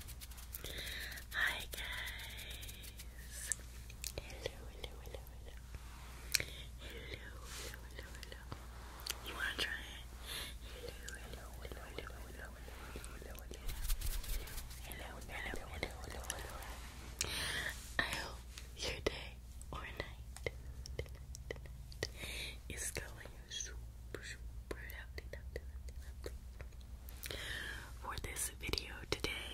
Hi guys! Hello, hello, hello, hello. Hello, hello, You wanna try it? Hello, hello, hello, hello, hello, hello, hello, hello, I hope your day or night is going super, super lovely, lovely, lovely, lovely. For this video today,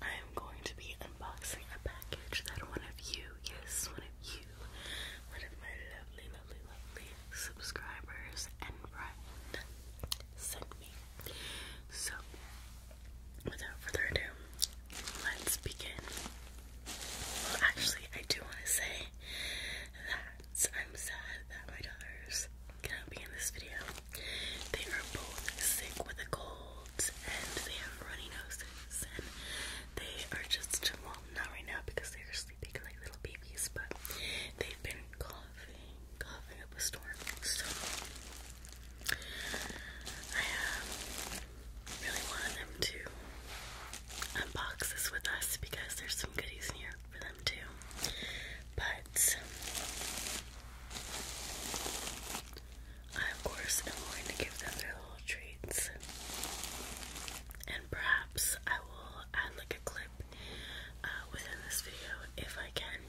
I am going to be unboxing a package that one of you, yes, one of you, one of my lovely, lovely, lovely subscribers and Brian sent me. So, without further ado, let's begin. Well, actually, I do want to say that I'm sad that my daughters cannot be in this video. They are both sick with a cold and they have runny noses and they are just well not right now because they are sleeping like little babies, but they've been coughing, coughing up a storm. So I really wanted them to unbox this with us because there's some goodies in here for them too. But I, of course, am going to give them their little treats. And perhaps I will add like a clip uh, within this video if I can.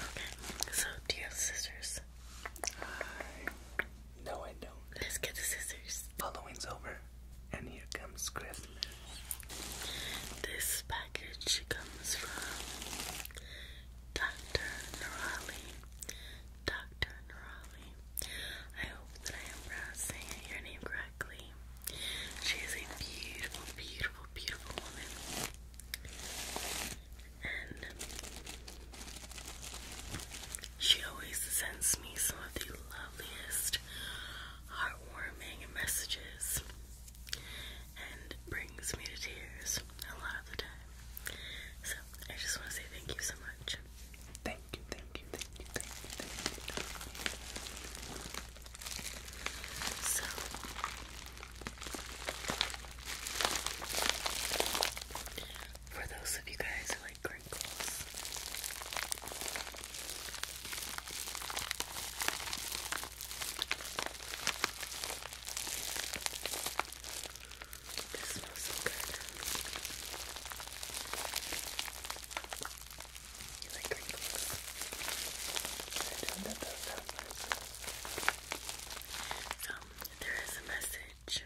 Okay, so do you have scissors? Uh, no, I don't. Let's get the scissors. Following's over. And here comes Christmas. This package comes from Dr. Nerali. Dr. Nerali. I hope that I am pronouncing your name correctly. She is a beautiful, beautiful, beautiful woman. And she always sends me some of the loveliest heartwarming messages and brings me to tears a lot of the time. So I just want to say thank you so much. Thank you, thank you, thank you, thank you, So for those of you guys who like like This smells so good. You like crinkles? I there is a message.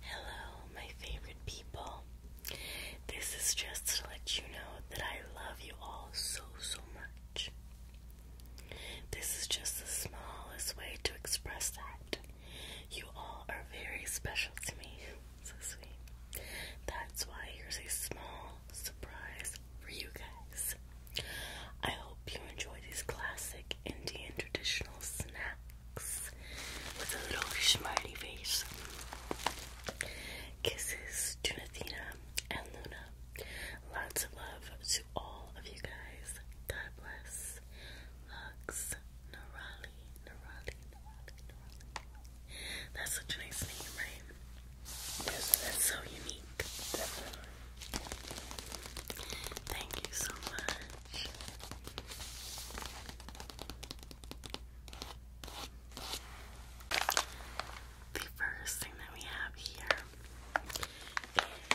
Hello, my favorite people. This is just to let you know that I love you all so, so much. This is just the smallest way to express that. You all are very special to me. So sweet. That's why here's a small surprise for you guys. I hope you enjoy these classic Indian traditional snacks with a little smiley face. Kisses to Nathina and Luna. Lots of love to all of you guys. God bless. Hugs. Narali. Narali. Narali. That's such a nice name, right? Isn't so unique? Definitely. Thank you so much. The first thing that we have here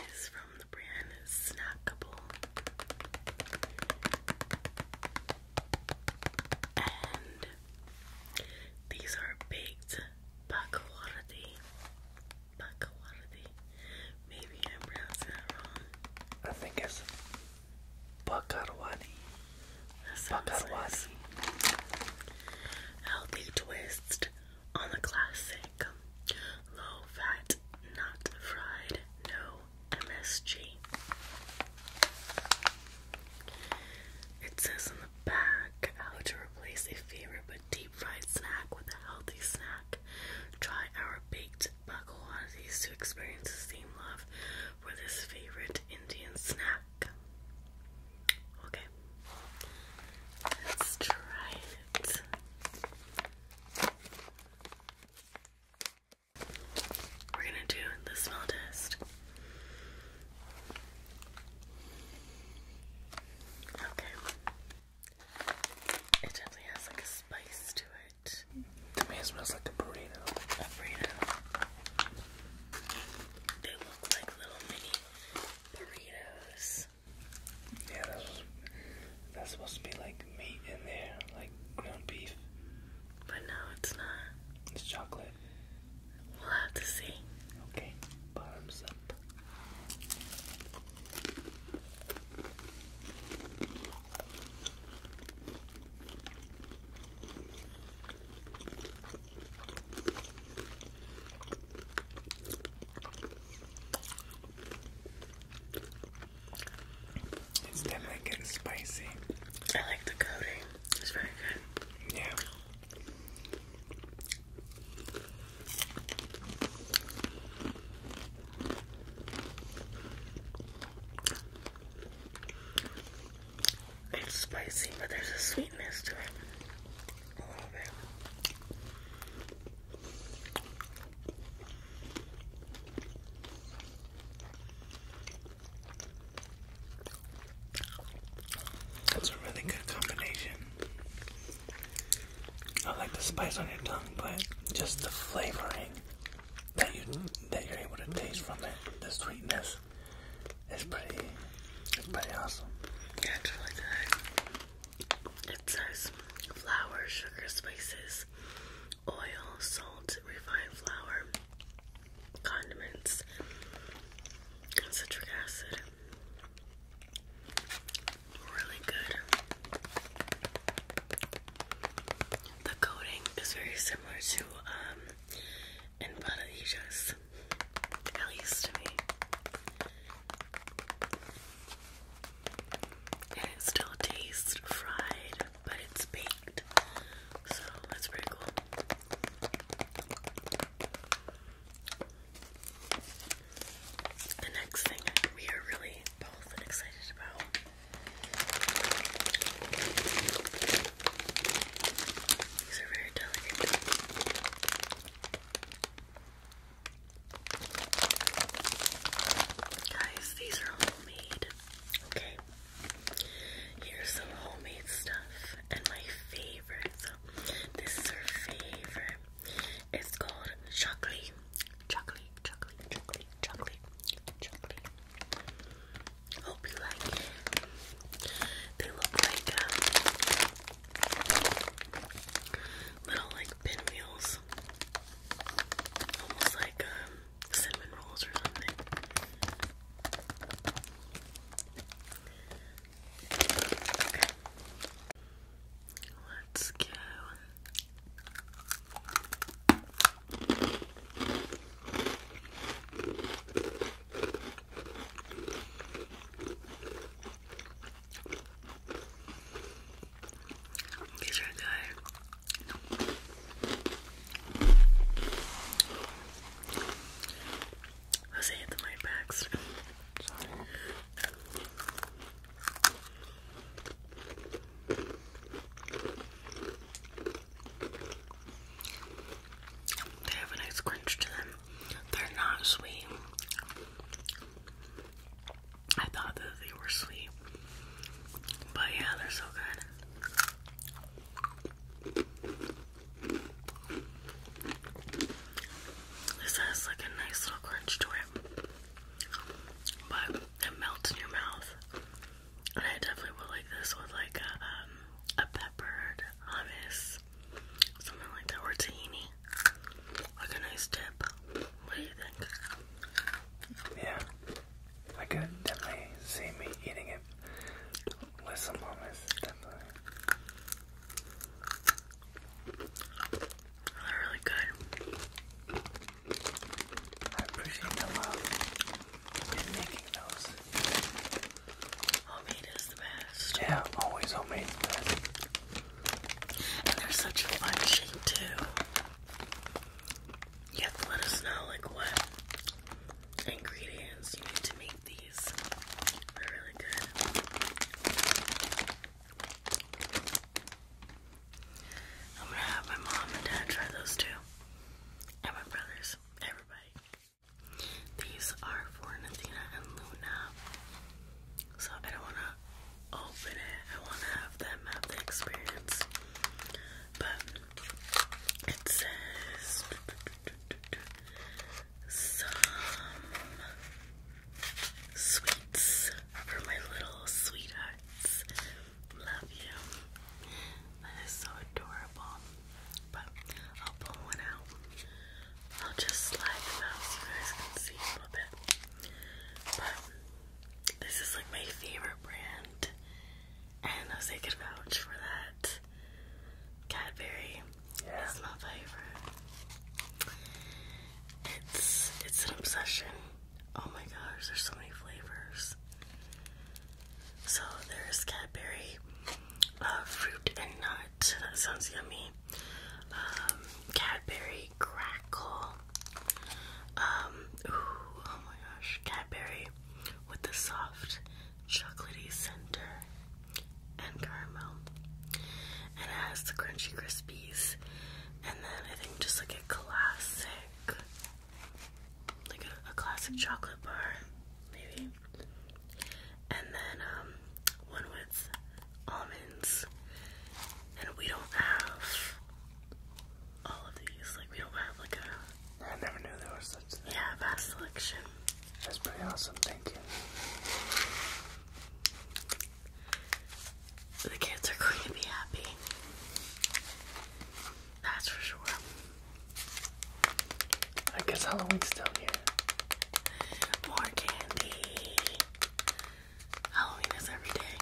is from the brand Snackable. And these are baked Bakawardi. Bakawardi. Maybe I'm pronouncing that wrong. I think it's Bakarwadi. Bakarwadi. Healthy twist on the classic. Low fat, not fried, no MSG. It says in the back how to replace a favorite but deep fried snack with a healthy snack. Try our baked baklava's to experience the same love for this favorite Indian snack. Okay, let's try it. We're gonna do the smell test. Okay. It definitely has like a spice to it. To me, it smells like a burrito. A burrito. They look like little mini burritos. Yeah, that was, that's supposed to be like meat in there, like ground beef. But no, it's not. It's chocolate. We'll have to see. Okay, bottoms up. It's definitely getting spicy. I like the coating. It's very good. Yeah. It's spicy, but there's a sweetness to it. A little bit. That's a really good combination. I like the spice on your tongue, but just the flavoring that you that you're able to taste from it, the sweetness, is pretty it's pretty awesome. it's really good. It says flour, sugar, spices, oil, salt, refined flour, condiments, citric acid. Really good. The coating is very similar to um Empanadillas, at least to me. And it still tastes fried, but it's baked. So that's pretty cool. The next thing we are really both excited about these are very delicate. Guys, these are homemade. Okay. Here's some homemade stuff and my favorite this is her favorite. It's called chocolate, chocolate, chocolate, chocolate, chocolate, Hope you like They look like um, little like pinwheels, almost like um, cinnamon rolls or something. Let's go. These are good. Let's hit the mic packs. They have a nice crunch to them. They're not sweet. I thought that they were sweet. But yeah, they're so good. This has like a nice little crunch to it, but it melts in your mouth. And I definitely would like this with like a, um, a peppered hummus, something like that, or tahini, like a nice dip. What do you think? Yeah, I could definitely see me eating it with some hummus, definitely. They're really good. I appreciate the love in making those. Homemade is the best. Yeah, always homemade is best. And they're such fun too. You have to let us know like what ingredients you need to make these are really good. I'm gonna have my mom and dad try those too. And my brothers. Everybody. These are for Nathina and Luna. So I don't wanna open it. I wanna have them have the experience. But it says some sweets for my little sweethearts. Love you. That is so adorable. But I'll pull one out. I'll just slide them so you guys can see a little bit. But this is like my favorite brand. And I was thinking vouch for that. Cadbury. It's my favorite. It's it's an obsession. Oh my gosh, there's so many flavors. So there's Cadbury, uh, fruit and nut. That sounds yummy. Um, Cadbury crackle. Um, oh my gosh, Cadbury with the soft chocolatey center and caramel. And it has the crunchy crispies. And then I think just like a classic, like a, classic chocolate bar, maybe. And then um, one with almonds. And we don't have all of these. Like we don't have like a. I never knew there was such. Thing. Yeah, vast selection. That's pretty awesome. Thank you. The kids are going to be happy. That's for sure. I guess Halloween's down here. More candy. Halloween is every day.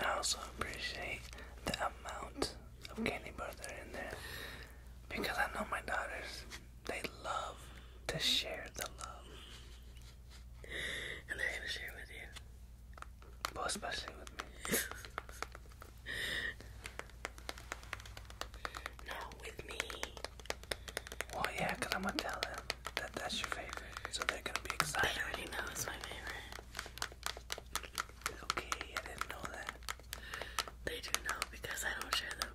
I also appreciate the amount of candy bars that are in there because I know my daughters they love to share the love. And they're gonna share with you. Well, especially with me. Not with me. Well, yeah, because I'm gonna tell them that that's your favorite. So they're gonna be excited. I already know it's my favorite. Okay, I didn't know that. They do know because I don't share them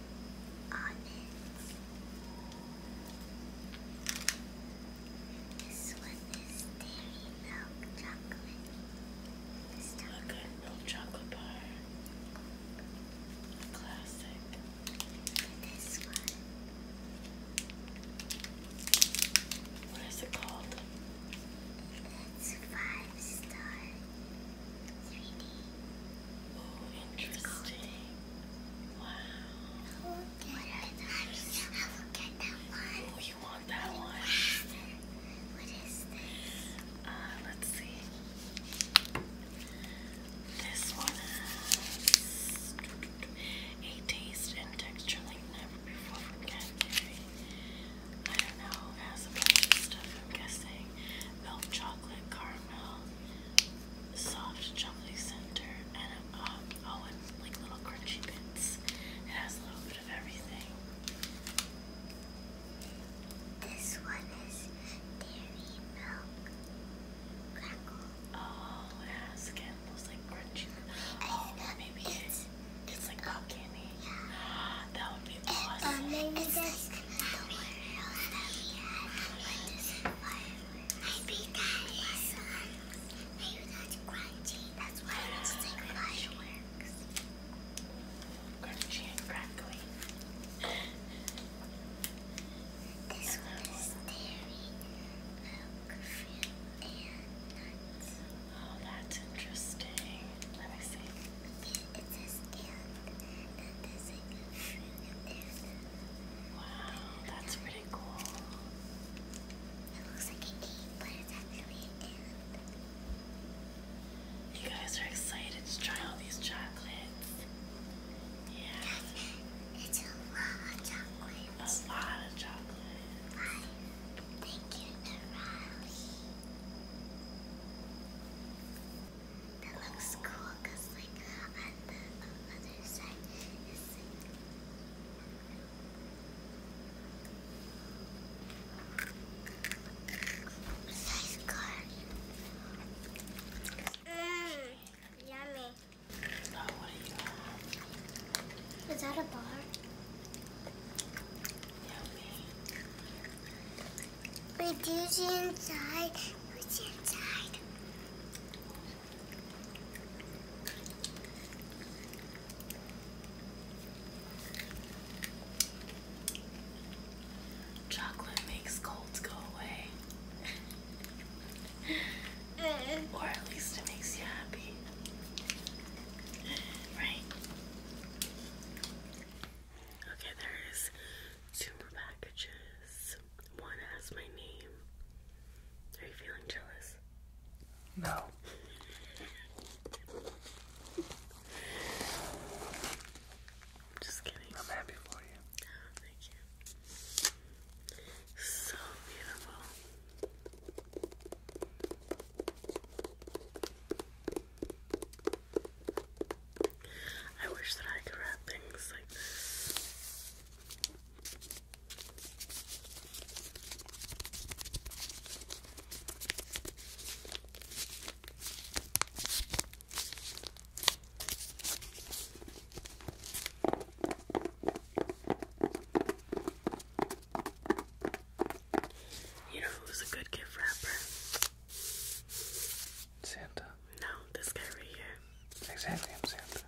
This one is dairy milk chocolate. This chocolate. milk chocolate bar. classic. What is it called? It's five star 3D Oh, interesting. Wow. Look at that one. Oh, you want that one? What is this? Uh, let's see. This one has a taste and texture like never before I don't know, has a bunch of stuff, I'm guessing. Milk chocolate, caramel, soft chocolatey center, and um, oh, and like little crunchy bits. It has a little bit of everything. This one is dairy milk crackle. Oh, it has again like crunchy. Oh, maybe it's it's like pop Yeah. That would be awesome. Maybe that is, um, maybe that's crunchy. That's why it's like fireworks. Crunchy and crackly. This one is dairy, milk, fruit, and nuts. Oh, that's interesting. Let me see. it says and, then there's like and there's Wow, that's pretty cool. It looks like an eight, but it's actually You guys are excited to try all these chocolates. Yeah. It's a lot of chocolates. A lot of chocolate. I think you, Nerali that looks cool because like on the other side is like Mmm, yummy. Oh, you Is that a bar? Yummy. Wait, see inside? What's inside? Chocolate makes colds go away. Eh. or at least it makes you happy. Right? Okay, there's two more packages. One has my name are you feeling jealous? No. just kidding. I'm happy for you. thank you. So beautiful. I wish that I could wrap things like you know who's a good gift wrapper? Santa. No, this guy right here. Exactly, Exactly. What?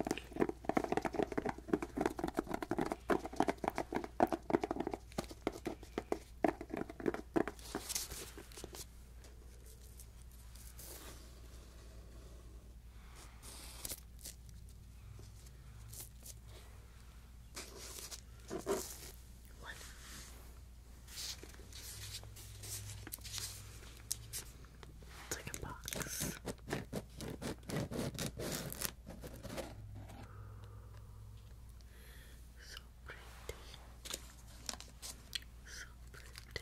It's like a box. So pretty. So pretty.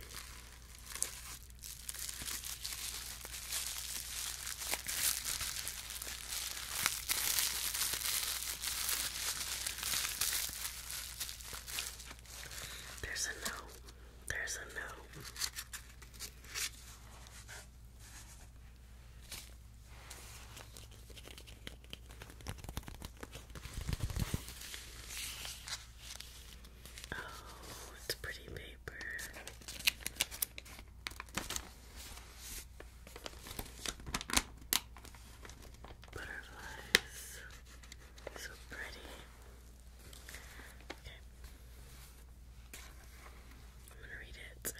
There's a note. There's a note. Oh, it's pretty paper. Butterflies. So pretty. Okay. I'm gonna read it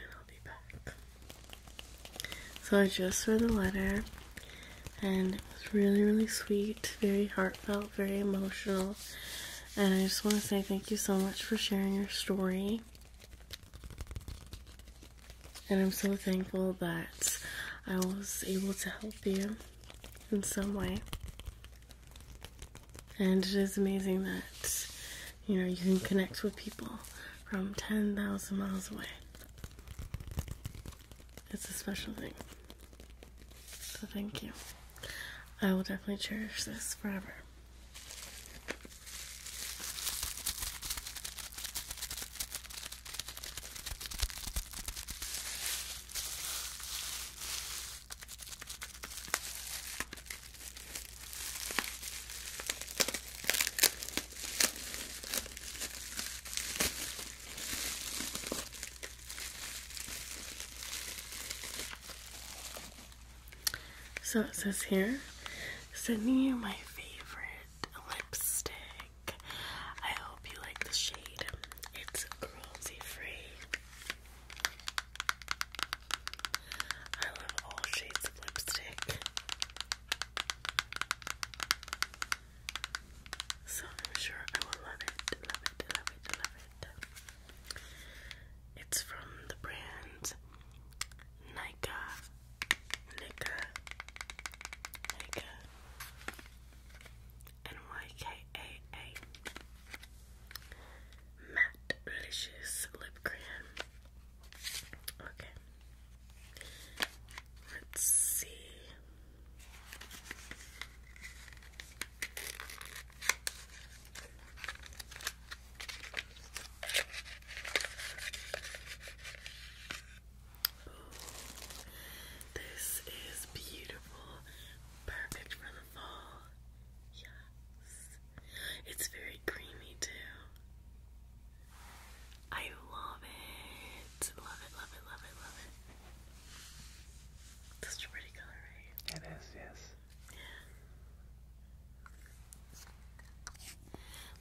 and I'll be back. So I just read the letter and it was really, really sweet, very heartfelt, very emotional. And I just want to say thank you so much for sharing your story. And I'm so thankful that I was able to help you in some way. And it is amazing that you know you can connect with people from 10,000 miles away. It's a special thing. So thank you. I will definitely cherish this forever. So it says here, sending you my favorite lipstick. I hope you like the shade. It's cruelty free. I love all shades of lipstick. So I'm sure I will love it, love it, love it, love it. It's from the brand Nika. Nika. Nika. N-Y-K-A-A. -A. Matte Licious Lip Cream. Okay. Let's see. this is beautiful, perfect for in Yes. It's very creamy too. I love it. Love it, love it, love it, love it. Such a pretty color, right? It is, yes. Yeah.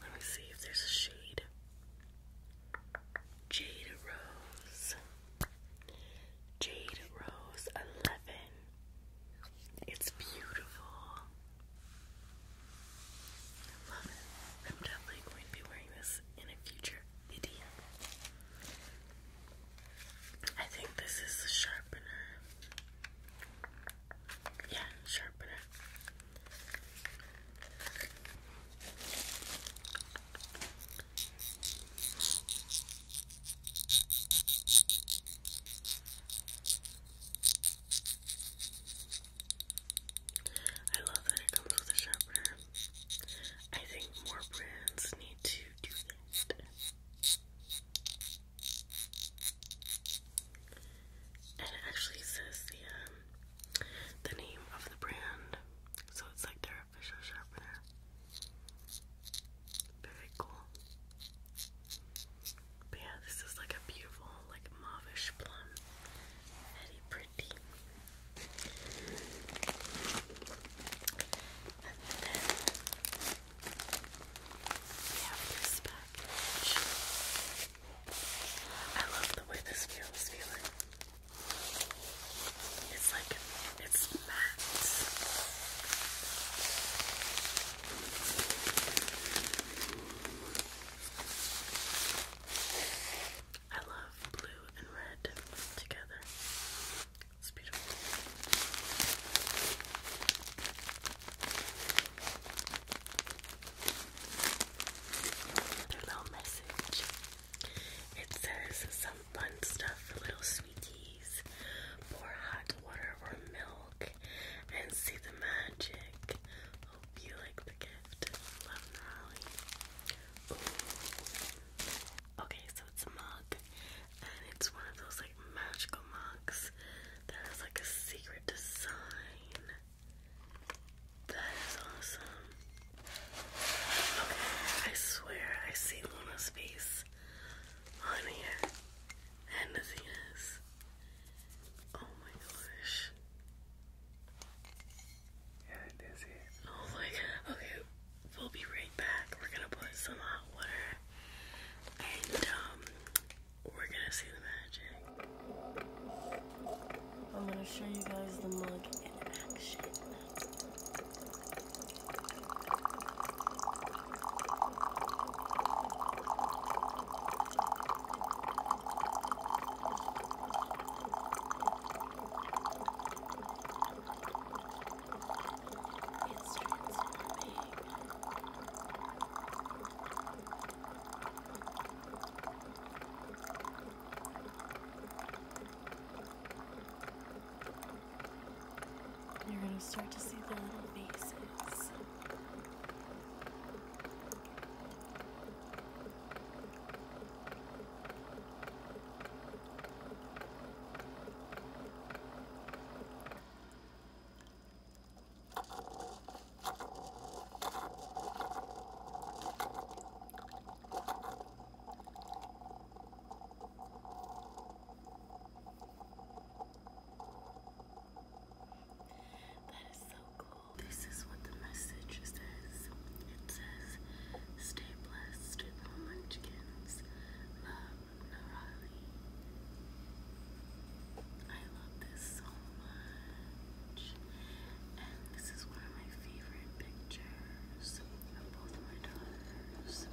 Let me see if there's a shade. Jade Rose. Jade Rose 11. It's beautiful. I am definitely going to be wearing this in a future video. I think this is a sharpener. Yeah, sharpener. I love that it comes with a sharpener. I think more brands need to do that. And it actually says the um, the name of the brand. So it's like they're. Very cool. But yeah, this is like a beautiful, like mauvish plum. pretty. we have this package. I love the way this feels feeling. It's like it's matte. I love blue and red together. It's beautiful. little message. It says, so fun stuff for little sweeties. Pour hot water or milk and see the magic. Hope you like the gift. Love Molly. Okay, so it's a mug. And it's one of those like magical mugs that has like a secret design. That is awesome. Okay, I swear I see Luna's face else and nothing else. Oh my gosh. Yeah, that's Oh my god. Okay, we'll be right back. We're gonna put some hot water and um we're gonna see the magic. I'm gonna show you guys the mug in action. It's transforming. It's you're going to start to see the little faces. That is so cool. This is what the message says. It says, Stay blessed, little munchkins. Love, Narali. I love this so much. And this is one of my favorite pictures both my daughters.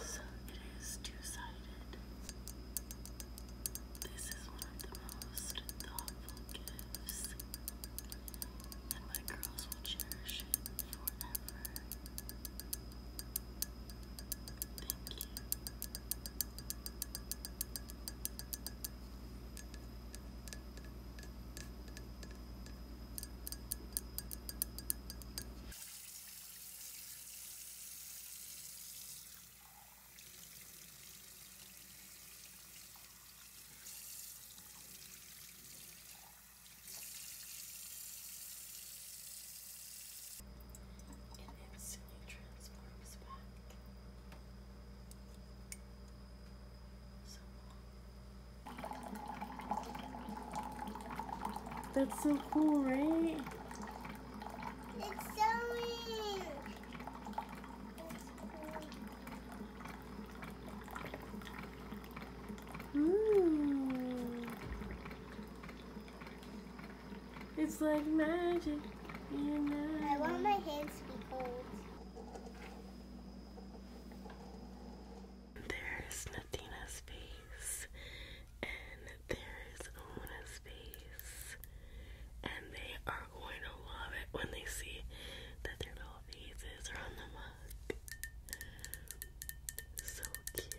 So it is two sided. This is one of the most thoughtful gifts, and my girls will cherish it forever. Thank you and then silly transforms back. That's so cool, right? It's so weird. Ooh. Hmm. It's like magic. I want my hands to be cold. There's Nadina's face, and there's Ona's face, and they are going to love it when they see that their little faces are on the mug. So cute.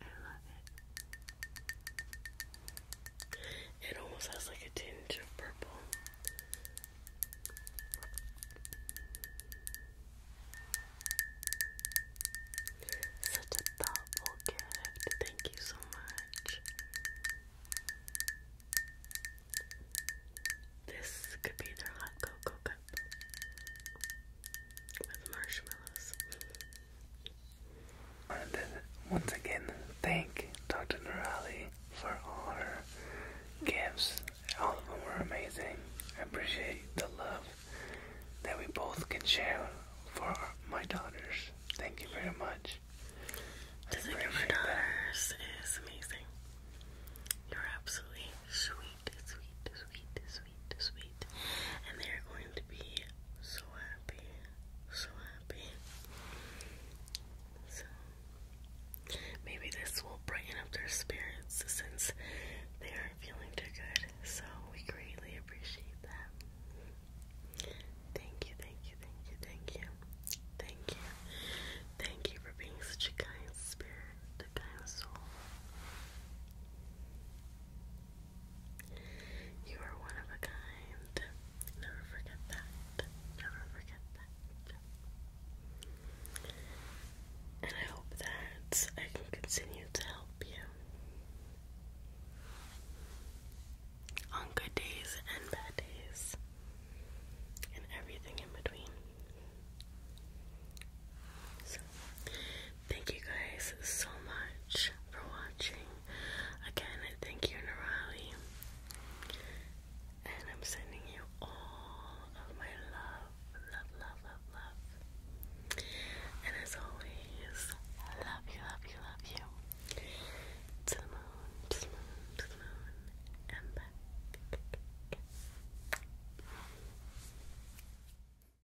I love it. It almost has like a tinge of purple. Such a thoughtful gift. Thank you so much. This could be their hot cocoa cup with marshmallows once again, thank Dr. Nurali for all her gifts. All of them were amazing. I appreciate the love that we both can share for my daughters. Thank you very much. I Doesn't your daughters that. is amazing. You're absolutely sweet sweet, sweet, sweet, sweet, sweet. And they're going to be so happy, so happy. So, maybe this will brighten up their spirits since they aren't feeling too good. So, we greatly appreciate that. Thank you, thank you, thank you, thank you. Thank you. Thank you for being such a kind spirit, a kind soul. You are one of a kind. Never forget that. Never forget that. And I hope that I can continue to help you on good days and bad days and everything in between thank you guys so much for watching. Again, thank you, Nirali. And I'm sending you all of my love, love, love, love, love. And as always, love you, love you, love you. To the moon, to the moon, to the moon, and back.